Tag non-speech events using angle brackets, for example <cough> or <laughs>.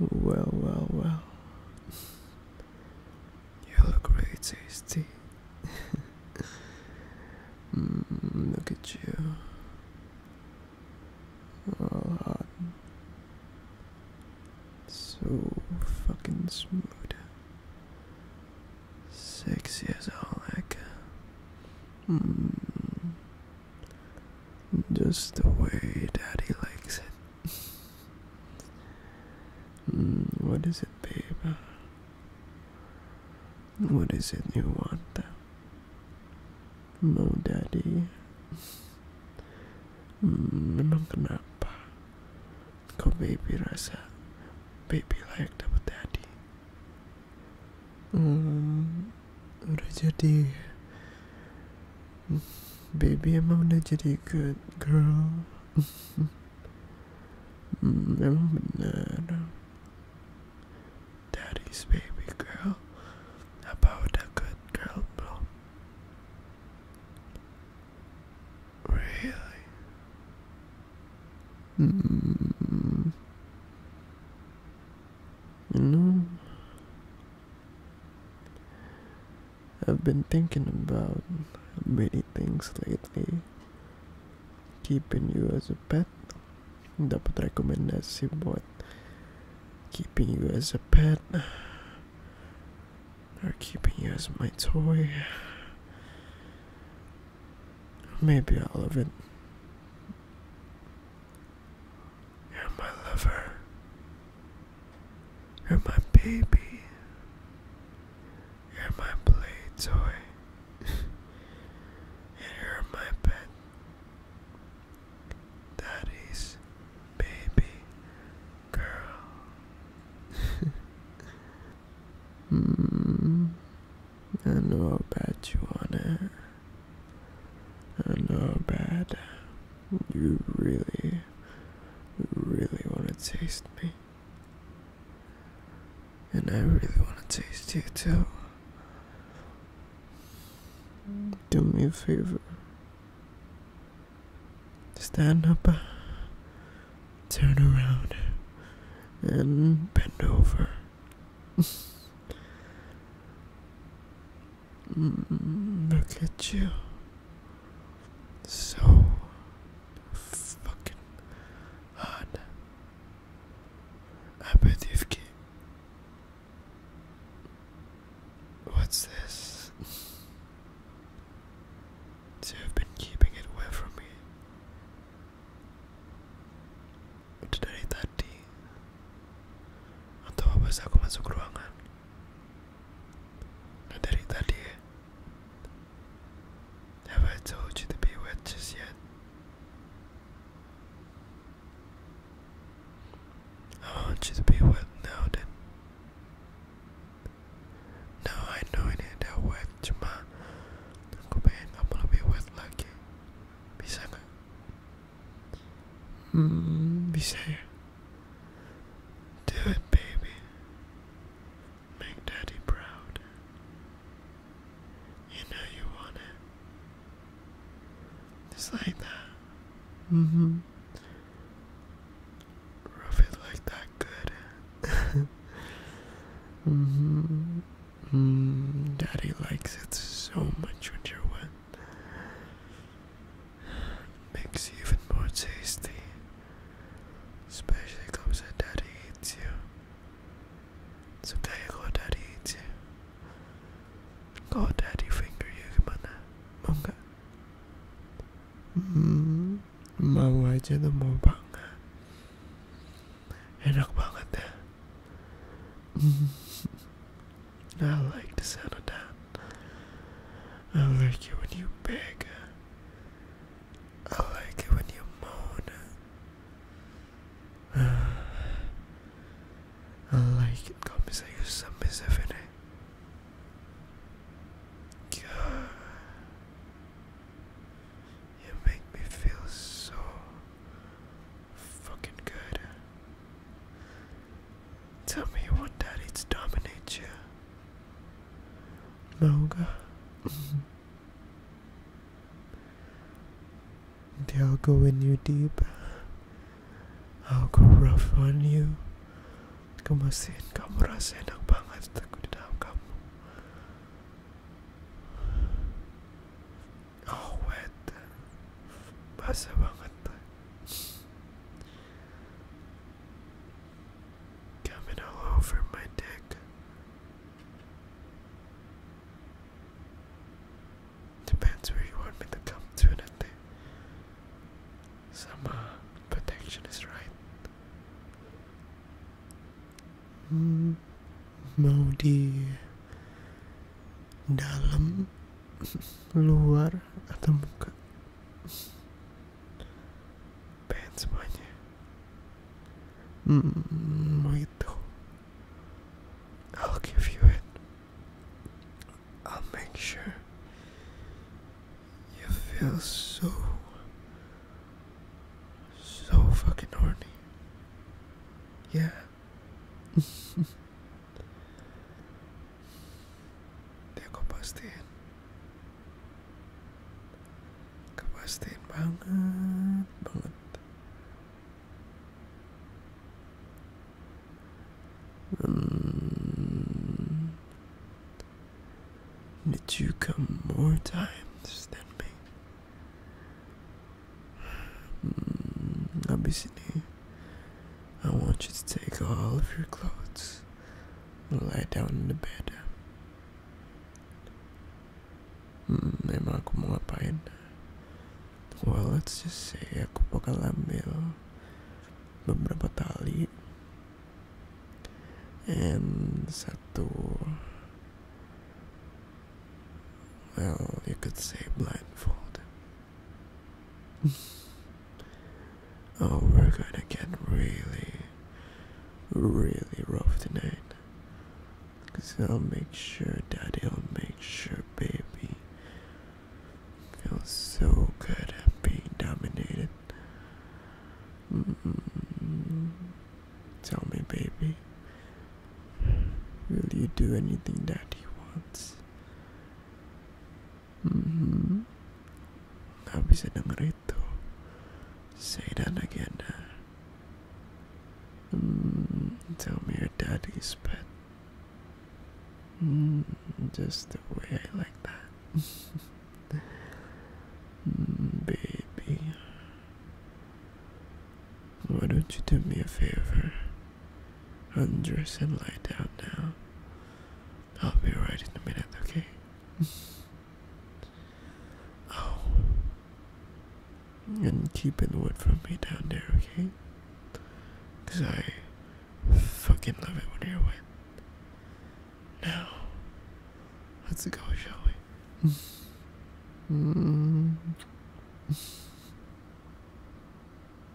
Well, well, well. You look great, tasty. <laughs> mm, look at you. All hot. So fucking smooth. Sexy as all heck. Mm just the way daddy likes it. Mm, what is it, baby? What is it you want? No, daddy. Mm, memang kenapa? Kau baby rasa baby layak dapat daddy. Hmm, udah jadi Baby, I'm gonna get you good, girl. I'm <laughs> banana. Daddy's baby girl. About a good girl, bro. Really? Mm. You I've been thinking about many things lately. Keeping you as a pet dapat rekomendasi buat keeping you as a pet or keeping you as my toy. Maybe all of it. You're my lover. You're my baby. You're my play toy. you're my pet. Daddy's baby girl. <laughs> mm, I know how bad you want it. And oh, bad. You really, really want to taste me. And I really want to taste you too. Do me a favor. Stand up, turn around, and bend over. <laughs> Look at you. So fucking hot. I bet you've kept. What's this? So you've been keeping it away from me. Udah dari tadi. Atau apa saja aku masuk ruangan? Not that Italy. Have I told you to be with just yet? I want you to be with now then. No, I know it ain't that wet, Juma. I'm gonna be with like you. Bisa nggak? Mm, be safe. Do it, baby. Make daddy proud. You know you want it. Just like that. Mm hmm. Rub it like that good. <laughs> mm hmm. Mm, daddy likes it so much when you're wet. Makes you even more tasty. Especially comes daddy eats you. So there you go, daddy eats you. Go daddy finger you gimana? Mau nggak? Hmm, mau aja tuh mau banget. Enak banget ya. I like the sound of that. I like it when you beg. I like it when you moan. <sighs> I like it como se eu sou You make me feel so fucking good. Tell me you want daddy to dominate you. Moga. <laughs> They'll go in you deep. I'll go rough on you. Kemasin kamu rasa enak banget aku di dalam kamu. Oh wet, basah banget. Coming all over my dick. Depends where you want me to come to, I think. Some uh, protection is right. Mm, Modi Dalam luar atau muka pengen semuanya hmm, itu I'll give you it I'll make sure you feel so so fucking horny yeah <laughs> Dia aku pastiin banget Banget hmm. you come more times than me? Hmm. Abis ini Abis ini I want you to take all of your clothes and lie down in the bed. May mga kumuha pa yun. Well, let's just say ako pagkalamil beberapa tali and satu well you could say blindfold <laughs> oh, we're gonna get really, really rough tonight. Cause I'll make sure, Daddy, I'll make sure, baby. Feels so good at being dominated. Mm Tell me, baby, will you do anything Daddy wants? Mm-hmm. Gak bisa that mm, tell me your daddy's pet. Mm, just the way I like that. <laughs> Mm, baby. Why don't you do me a favor? Undress and lie down now. I'll be right in a minute, okay? <laughs> oh. And keep it word from me down there, okay? Because I fucking love it when you're wet. Now, let's go, shall we? <laughs> <laughs>